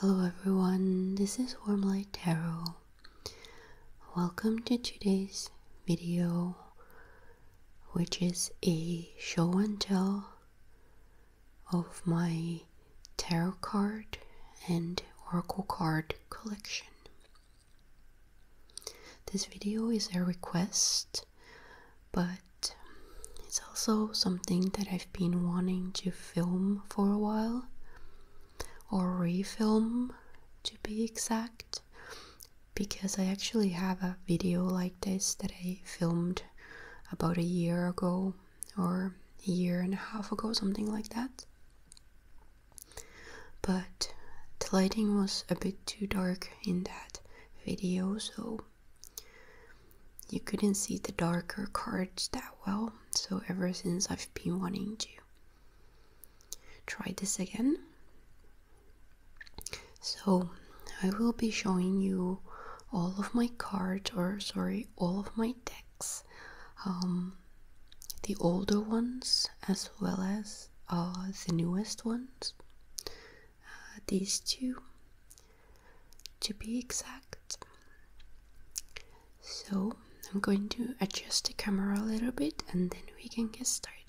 Hello everyone, this is Warmlight Tarot. Welcome to today's video, which is a show and tell of my tarot card and oracle card collection. This video is a request but it's also something that I've been wanting to film for a while or refilm to be exact because I actually have a video like this that I filmed about a year ago or a year and a half ago, something like that. But the lighting was a bit too dark in that video, so you couldn't see the darker cards that well, so ever since I've been wanting to try this again. So, I will be showing you all of my cards, or sorry, all of my decks, um, the older ones as well as uh, the newest ones. Uh, these two to be exact. So I'm going to adjust the camera a little bit and then we can get started.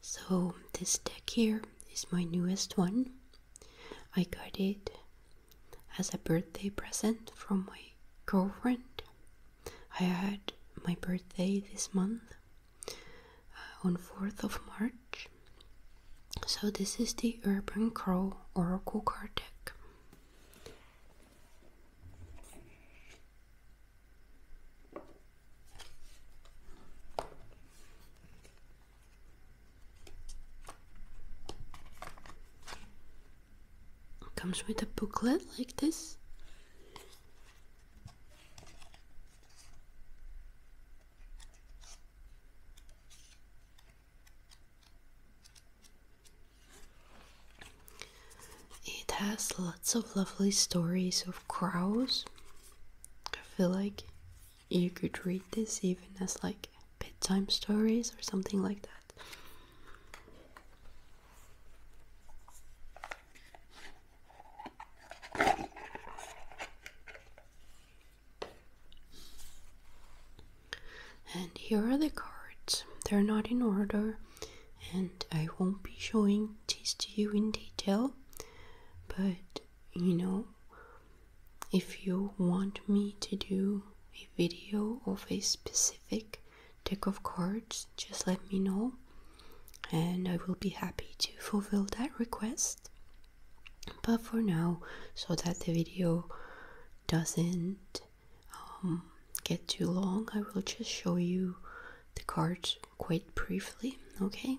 So this deck here is my newest one. I got it as a birthday present from my girlfriend. I had my birthday this month uh, on 4th of March. So this is the Urban Crow Oracle card deck. comes with a booklet like this it has lots of lovely stories of crows. I feel like you could read this even as like bedtime stories or something like that. And here are the cards. They're not in order, and I won't be showing these to you in detail, but you know, if you want me to do a video of a specific deck of cards, just let me know and I will be happy to fulfill that request. But for now, so that the video doesn't um, get too long, I will just show you the cards quite briefly, okay?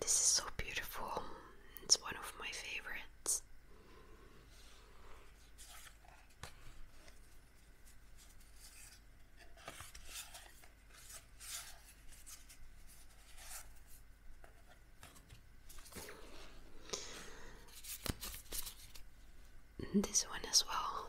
This is so beautiful. It's one of my favorites. This one as well.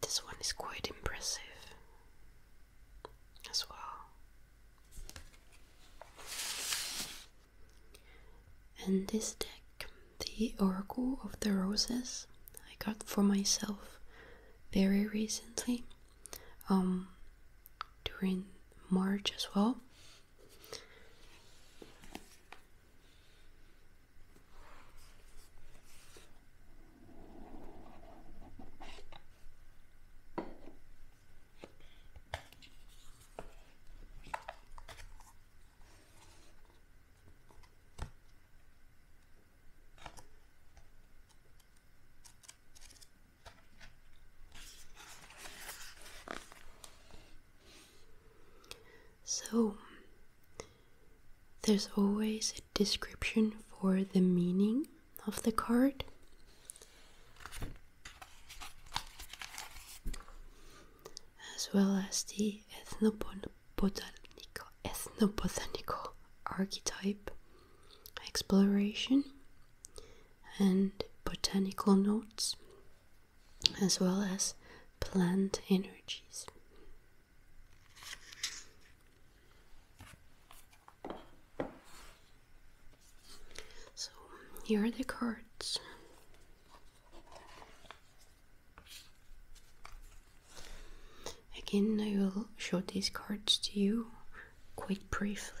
This one is quite impressive as well. And this deck, the Oracle of the Roses, I got for myself very recently, um, during March as well. So, there's always a description for the meaning of the card as well as the ethnobotanical, archetype exploration and botanical notes, as well as plant energies. So here are the cards. Again, I will show these cards to you quite briefly.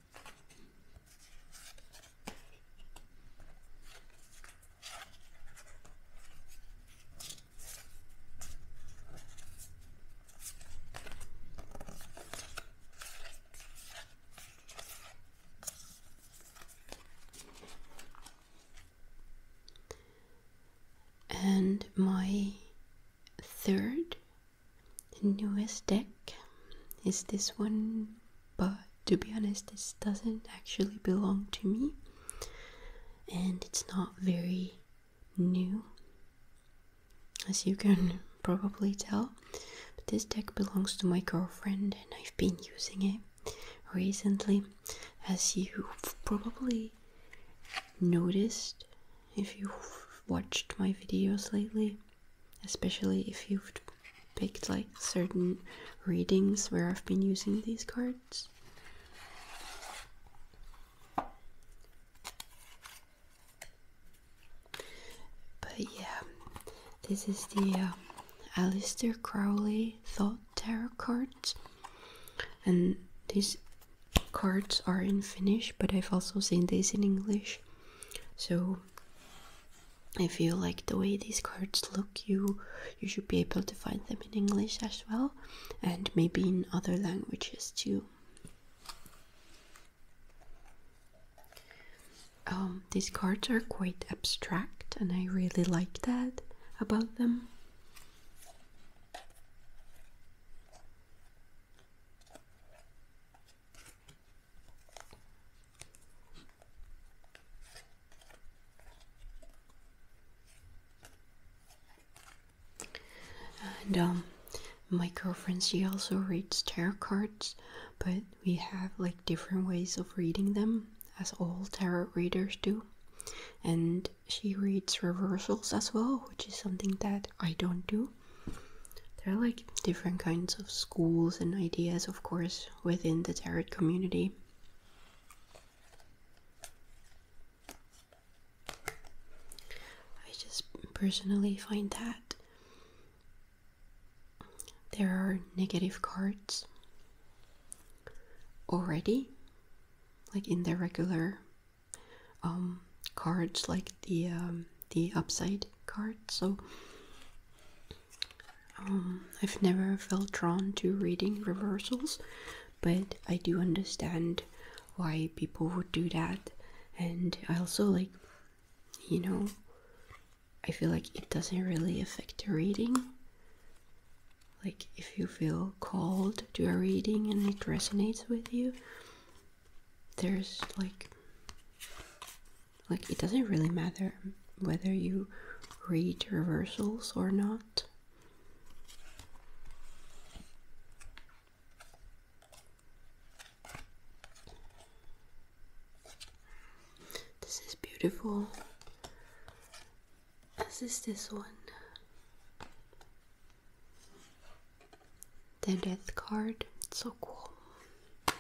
And my third newest deck is this one but to be honest, this doesn't actually belong to me, and it's not very new, as you can probably tell. But this deck belongs to my girlfriend, and I've been using it recently, as you've probably noticed if you've watched my videos lately especially if you've picked like certain readings where I've been using these cards. But yeah, this is the uh, um, Alistair Crowley Thought Tarot cards, and these cards are in Finnish, but I've also seen these in English. So I feel like the way these cards look, you you should be able to find them in English as well, and maybe in other languages too. Um, these cards are quite abstract, and I really like that about them. And um, my girlfriend, she also reads tarot cards, but we have like different ways of reading them, as all tarot readers do. And she reads reversals as well, which is something that I don't do. There are like different kinds of schools and ideas, of course, within the tarot community. I just personally find that there are negative cards already, like in the regular um, cards, like the um, the upside card, so um, I've never felt drawn to reading reversals, but I do understand why people would do that, and I also like, you know, I feel like it doesn't really affect the reading. Like, if you feel called to a reading and it resonates with you, there's like like, it doesn't really matter whether you read reversals or not. This is beautiful, This is this one. The death card, so cool.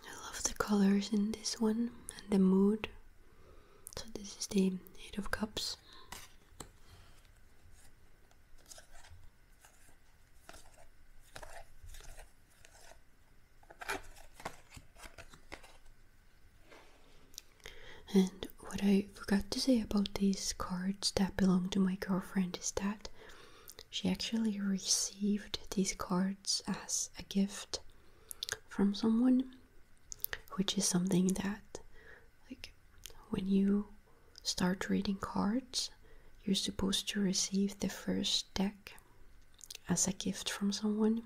I love the colors in this one and the mood so this is the Eight of Cups. And what I forgot to say about these cards that belong to my girlfriend is that she actually received these cards as a gift from someone which is something that like when you start reading cards you're supposed to receive the first deck as a gift from someone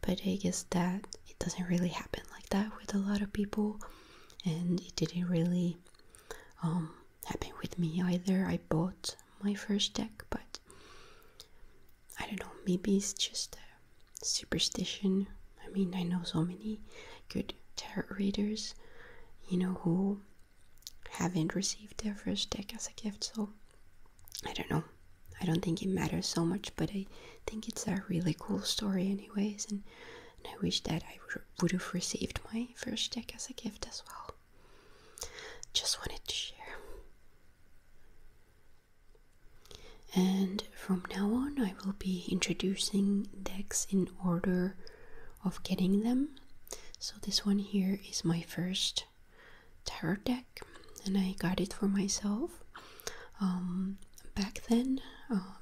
but i guess that it doesn't really happen like that with a lot of people and it didn't really um, happen with me either i bought my first deck but I don't know, maybe it's just a superstition. I mean, I know so many good tarot readers, you know, who haven't received their first deck as a gift, so I don't know. I don't think it matters so much, but I think it's a really cool story, anyways, and, and I wish that I would have received my first deck as a gift as well. Just wanted to share. And from now on, I will be introducing decks in order of getting them. So, this one here is my first tarot deck, and I got it for myself um, back then. Um,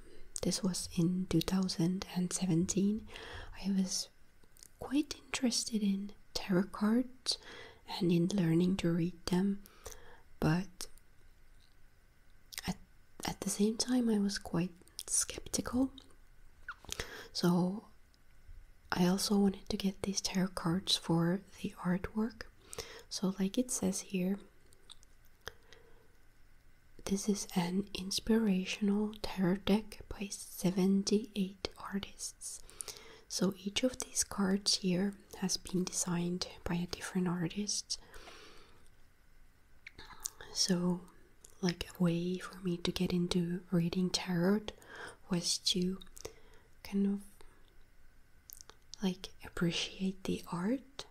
this was in 2017. I was quite interested in tarot cards and in learning to read them but at, at the same time i was quite skeptical so i also wanted to get these tarot cards for the artwork so like it says here this is an inspirational tarot deck by 78 artists so each of these cards here has been designed by a different artist. So, like a way for me to get into reading tarot was to kind of like appreciate the art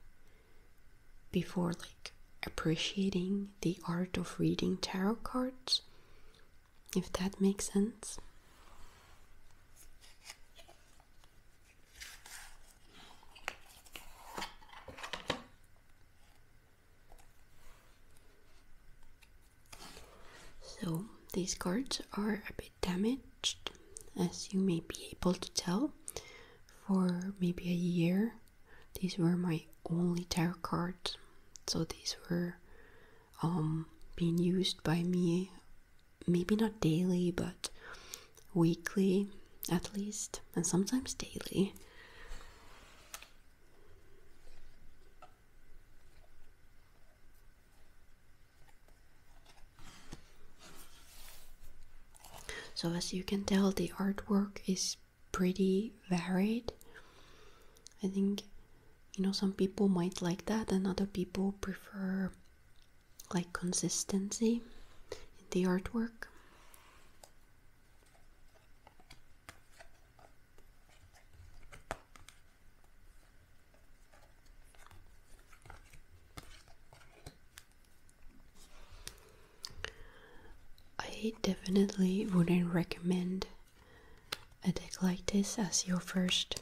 before like appreciating the art of reading tarot cards if that makes sense. So, these cards are a bit damaged, as you may be able to tell. For maybe a year, these were my only tarot cards. So, these were um, being used by me, maybe not daily, but weekly at least, and sometimes daily. So, as you can tell, the artwork is pretty varied. I think you know some people might like that and other people prefer like consistency in the artwork I definitely wouldn't recommend a deck like this as your first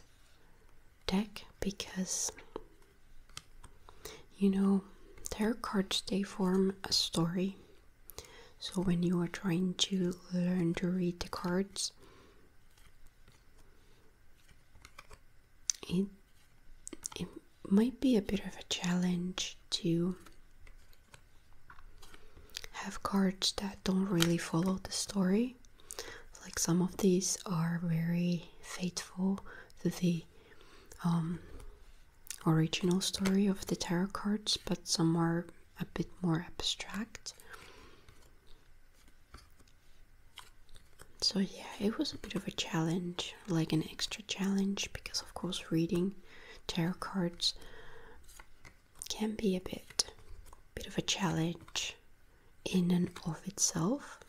deck because you know tarot cards they form a story so when you are trying to learn to read the cards it it might be a bit of a challenge to have cards that don't really follow the story like some of these are very faithful to the um, original story of the tarot cards, but some are a bit more abstract. So, yeah, it was a bit of a challenge, like an extra challenge, because of course, reading tarot cards can be a bit, bit of a challenge in and of itself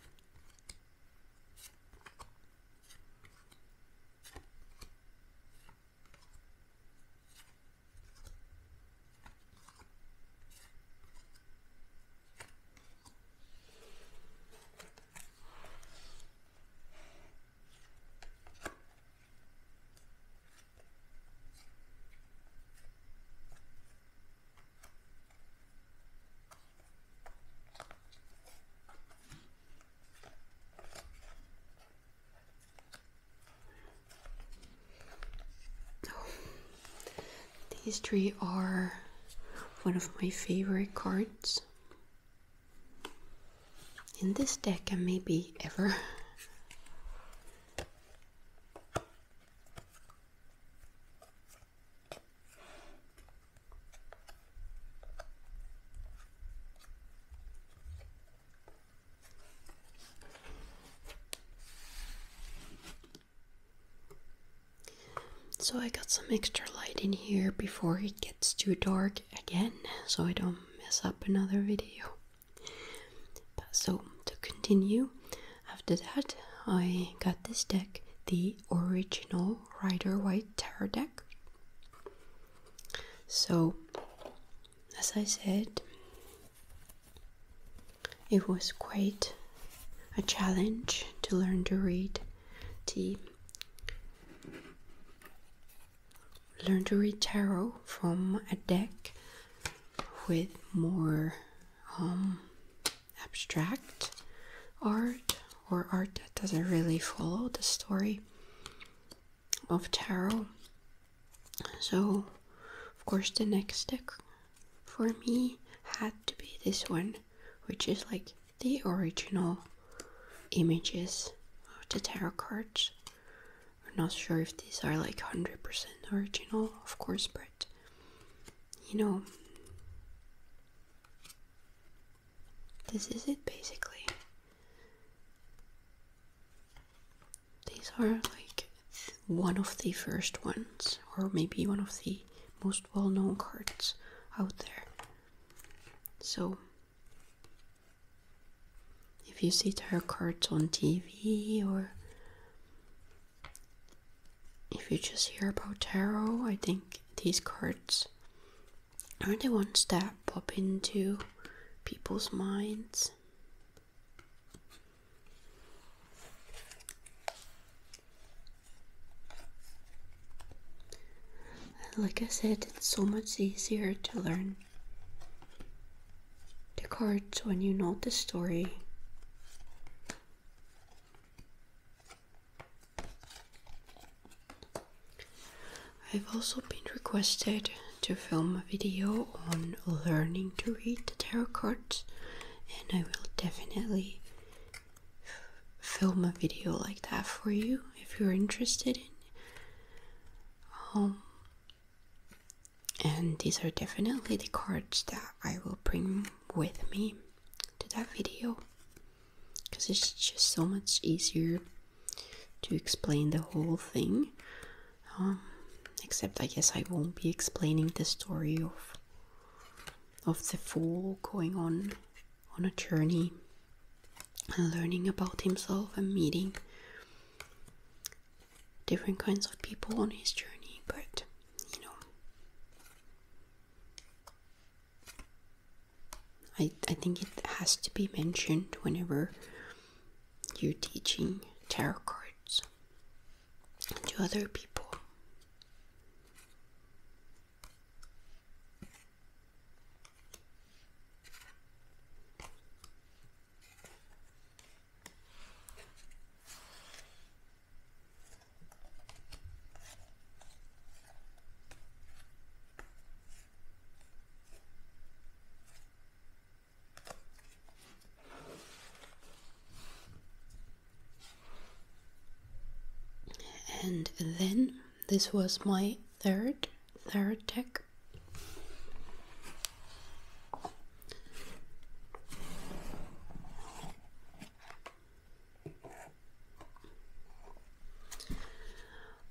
these three are one of my favorite cards in this deck and maybe ever. So I got some extra light in here before it gets too dark again, so I don't mess up another video so to continue, after that I got this deck, the original Rider White Tarot deck. So, as I said, it was quite a challenge to learn to read to learn to read tarot from a deck with more um, abstract art or art that doesn't really follow the story of tarot. So, of course, the next deck for me had to be this one, which is like the original images of the tarot cards. I'm not sure if these are like 100% original, of course, but you know, this is it basically. These are like one of the first ones, or maybe one of the most well known cards out there. So, if you see tarot cards on TV or if you just hear about tarot, I think these cards are the ones that pop into people's minds. like I said, it's so much easier to learn the cards when you know the story. I've also been requested to film a video on learning to read the tarot cards, and I will definitely film a video like that for you if you're interested in. Um, and these are definitely the cards that I will bring with me to that video because it's just so much easier to explain the whole thing. Um, except I guess I won't be explaining the story of of the fool going on on a journey and learning about himself and meeting different kinds of people on his journey, but you know, I, I think it has to be mentioned whenever you're teaching tarot cards to other people. And then this was my third third deck.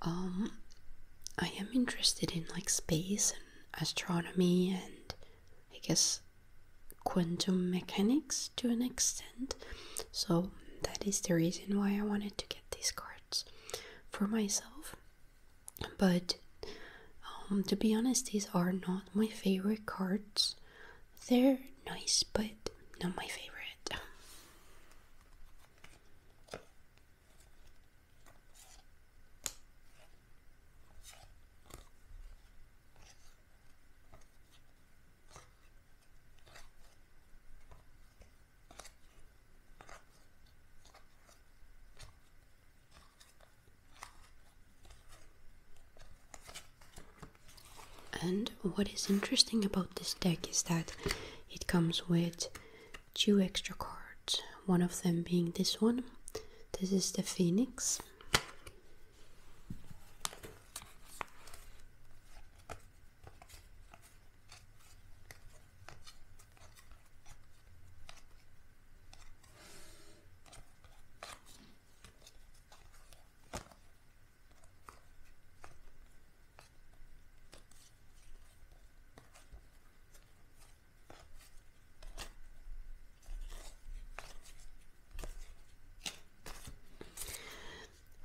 Um, I am interested in like space and astronomy and I guess quantum mechanics to an extent. So that is the reason why I wanted to get these cards for myself but um, to be honest, these are not my favorite cards. They're nice, but not my favorite. And what is interesting about this deck is that it comes with two extra cards, one of them being this one. This is the Phoenix.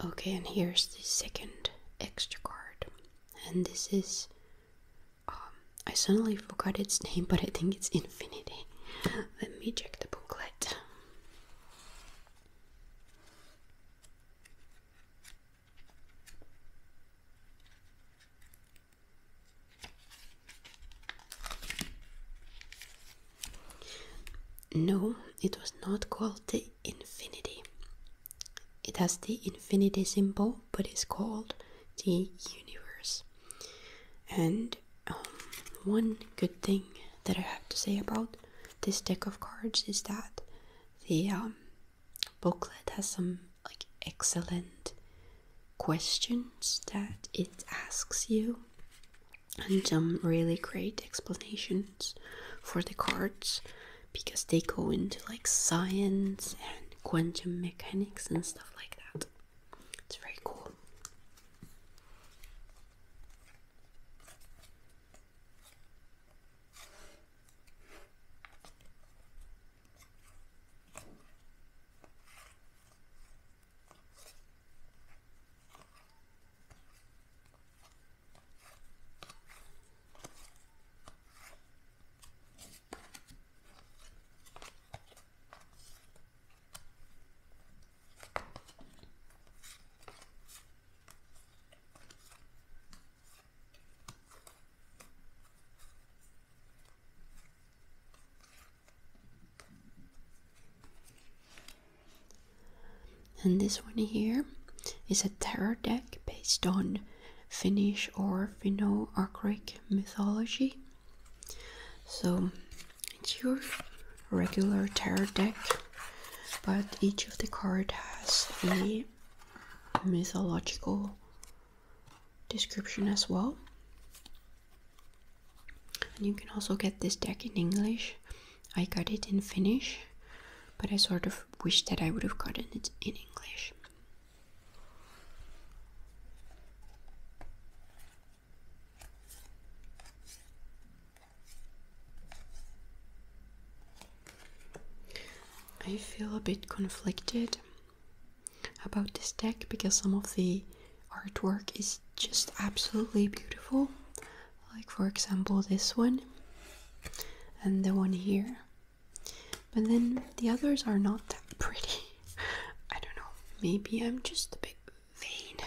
Okay, and here's the second extra card, and this is um, I suddenly forgot its name, but I think it's Infinity. Let me check the booklet. No, it was not called the Infinity. It has the infinity symbol know, but it's called the universe. And um, one good thing that I have to say about this deck of cards is that the um, booklet has some like excellent questions that it asks you and some really great explanations for the cards because they go into like science and quantum mechanics and stuff like that. It's very cool. And this one here is a tarot deck based on Finnish or Finno-Ugric mythology. So it's your regular tarot deck, but each of the card has a mythological description as well. And you can also get this deck in English. I got it in Finnish, but I sort of wish that I would have gotten it in English. I feel a bit conflicted about this deck because some of the artwork is just absolutely beautiful. Like, for example, this one and the one here. But then the others are not that pretty. I don't know. Maybe I'm just a bit vain.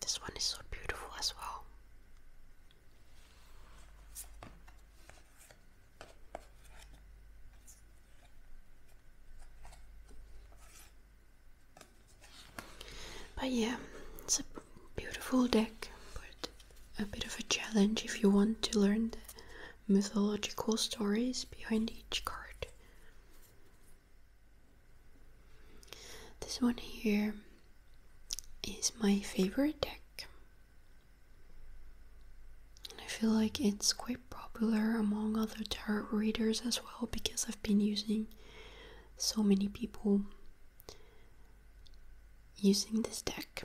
This one is so beautiful as well. But yeah, it's a beautiful deck, but a bit of a challenge if you want to learn the mythological stories behind each card. This one here is my favorite deck. And I feel like it's quite popular among other tarot readers as well because I've been using so many people using this deck.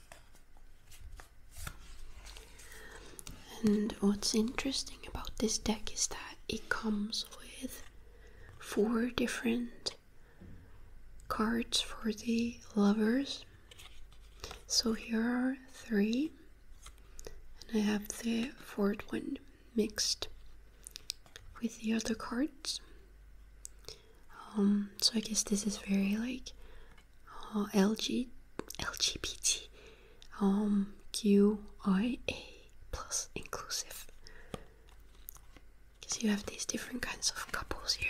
And what's interesting about this deck is that it comes with four different cards for the lovers. So here are three, and I have the fourth one mixed with the other cards. Um, so I guess this is very like L G, L G B T, um, Q I A plus inclusive. Because you have these different kinds of couples here.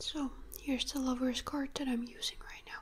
So here's the lover's card that I'm using right now.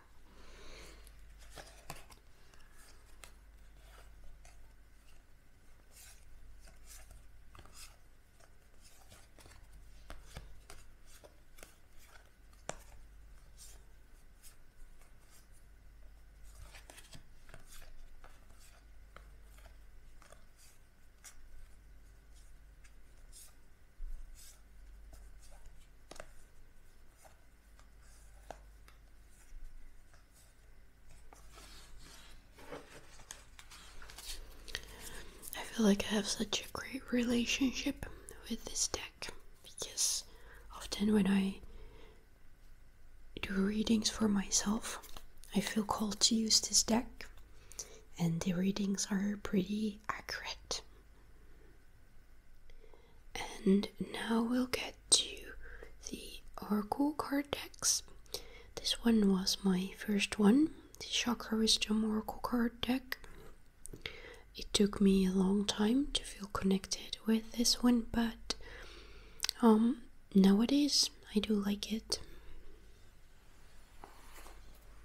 I feel like I have such a great relationship with this deck because often when I do readings for myself, I feel called to use this deck and the readings are pretty accurate. And now we'll get to the Oracle card decks. This one was my first one, the Chakra Wisdom Oracle card deck. It took me a long time to feel connected with this one, but um, nowadays I do like it.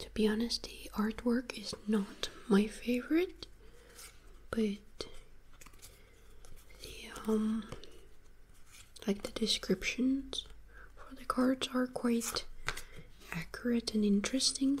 To be honest, the artwork is not my favorite, but the um, like the descriptions for the cards are quite accurate and interesting.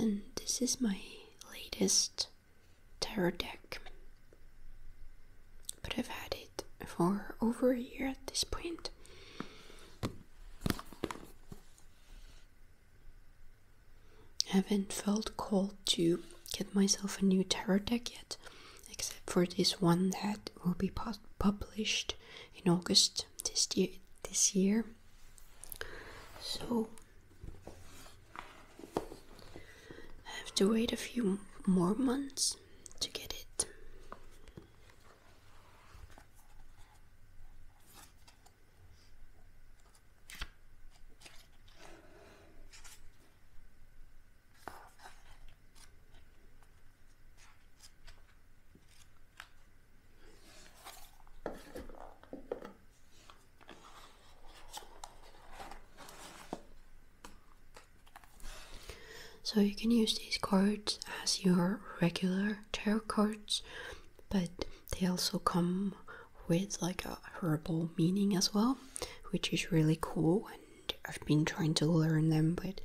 And this is my latest terror deck, but I've had it for over a year at this point. I haven't felt called to get myself a new terror deck yet, except for this one that will be published in August this year. This year. So I have to wait a few more months to get it. So you can use these cards as your regular tarot cards, but they also come with like a herbal meaning as well, which is really cool I've been trying to learn them, but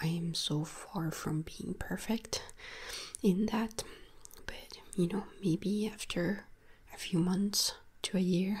I am so far from being perfect in that. But you know, maybe after a few months to a year.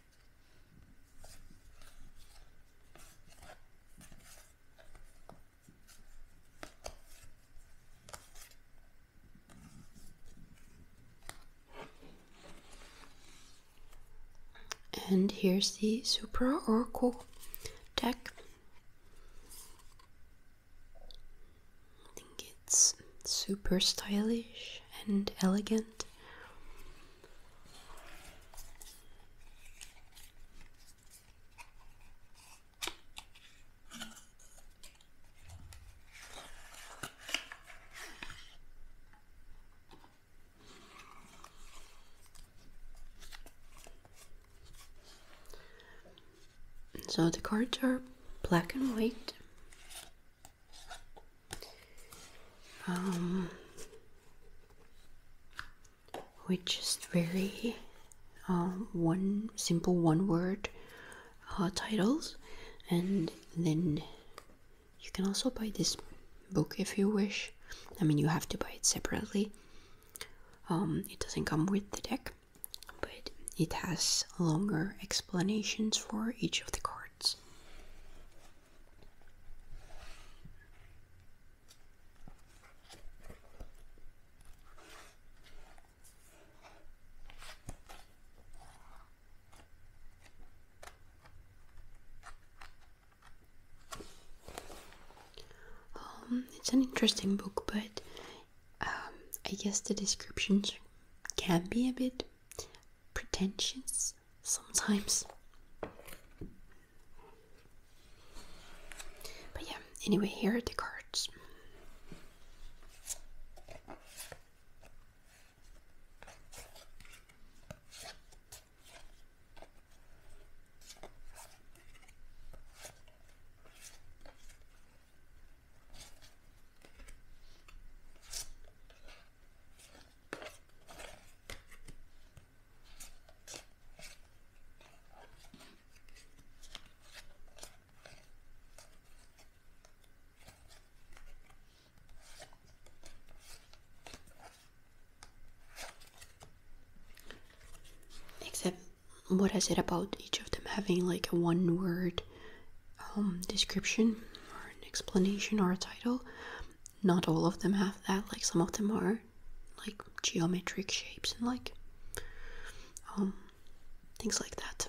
And here's the Supra Oracle deck. I think it's super stylish and elegant. So the cards are black and white, um, which is very um, one simple one word uh, titles and then you can also buy this book if you wish i mean you have to buy it separately um, it doesn't come with the deck but it has longer explanations for each of the cards um, it's an interesting book, but um, I guess the descriptions can be a bit pretentious sometimes. But yeah, anyway, here are the cards. Except what I said about each of them having like a one word um, description or an explanation or a title. Not all of them have that, like some of them are like geometric shapes and like um, things like that.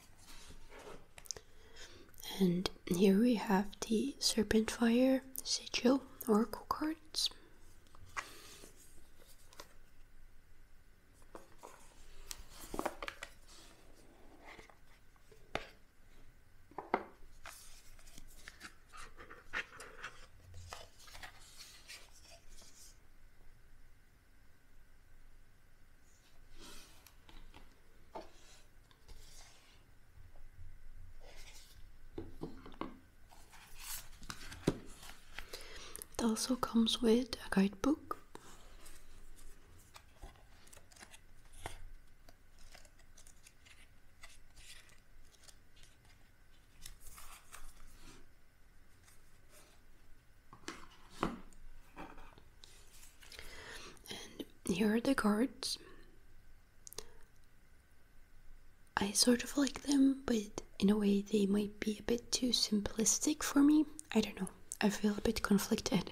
And here we have the Serpentfire Sigil Oracle cards. It also comes with a guidebook. And here are the cards. I sort of like them, but in a way they might be a bit too simplistic for me. I don't know. I feel a bit conflicted.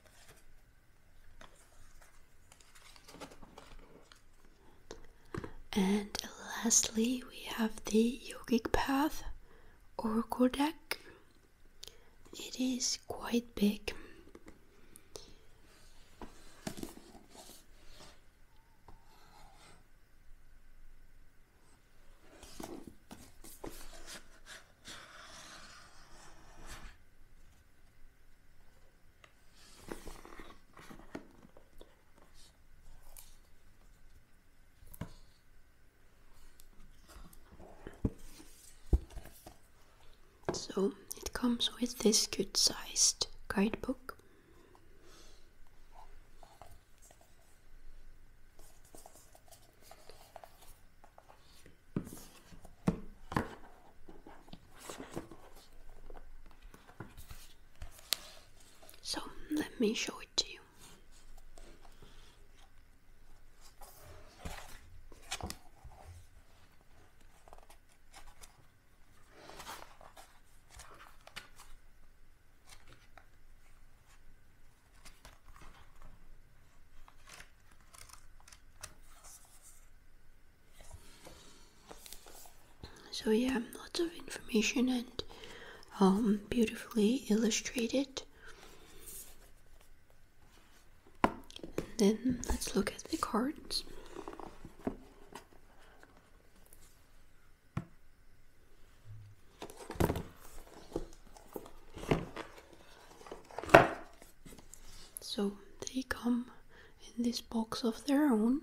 And lastly, we have the yogic path or kodak. It is quite big. So it comes with this good sized guidebook. So let me show it to you. So yeah, lots of information and um, beautifully illustrated. then let's look at the cards. So they come in this box of their own.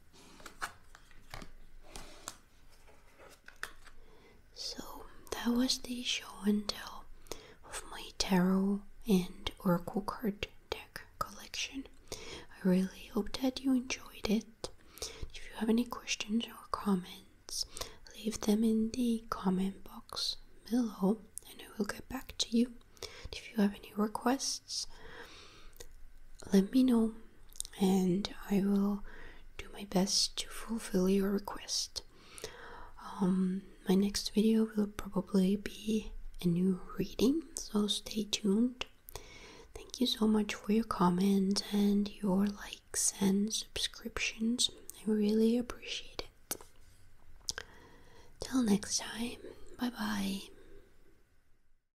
So that was the show and tell of my tarot and oracle card deck collection. I really hope that you enjoyed it. If you have any questions or comments, leave them in the comment box below and I will get back to you. If you have any requests, let me know and I will do my best to fulfill your request. Um, my next video will probably be a new reading, so stay tuned. Thank you so much for your comments and your likes and subscriptions. I really appreciate it. Till next time, bye bye.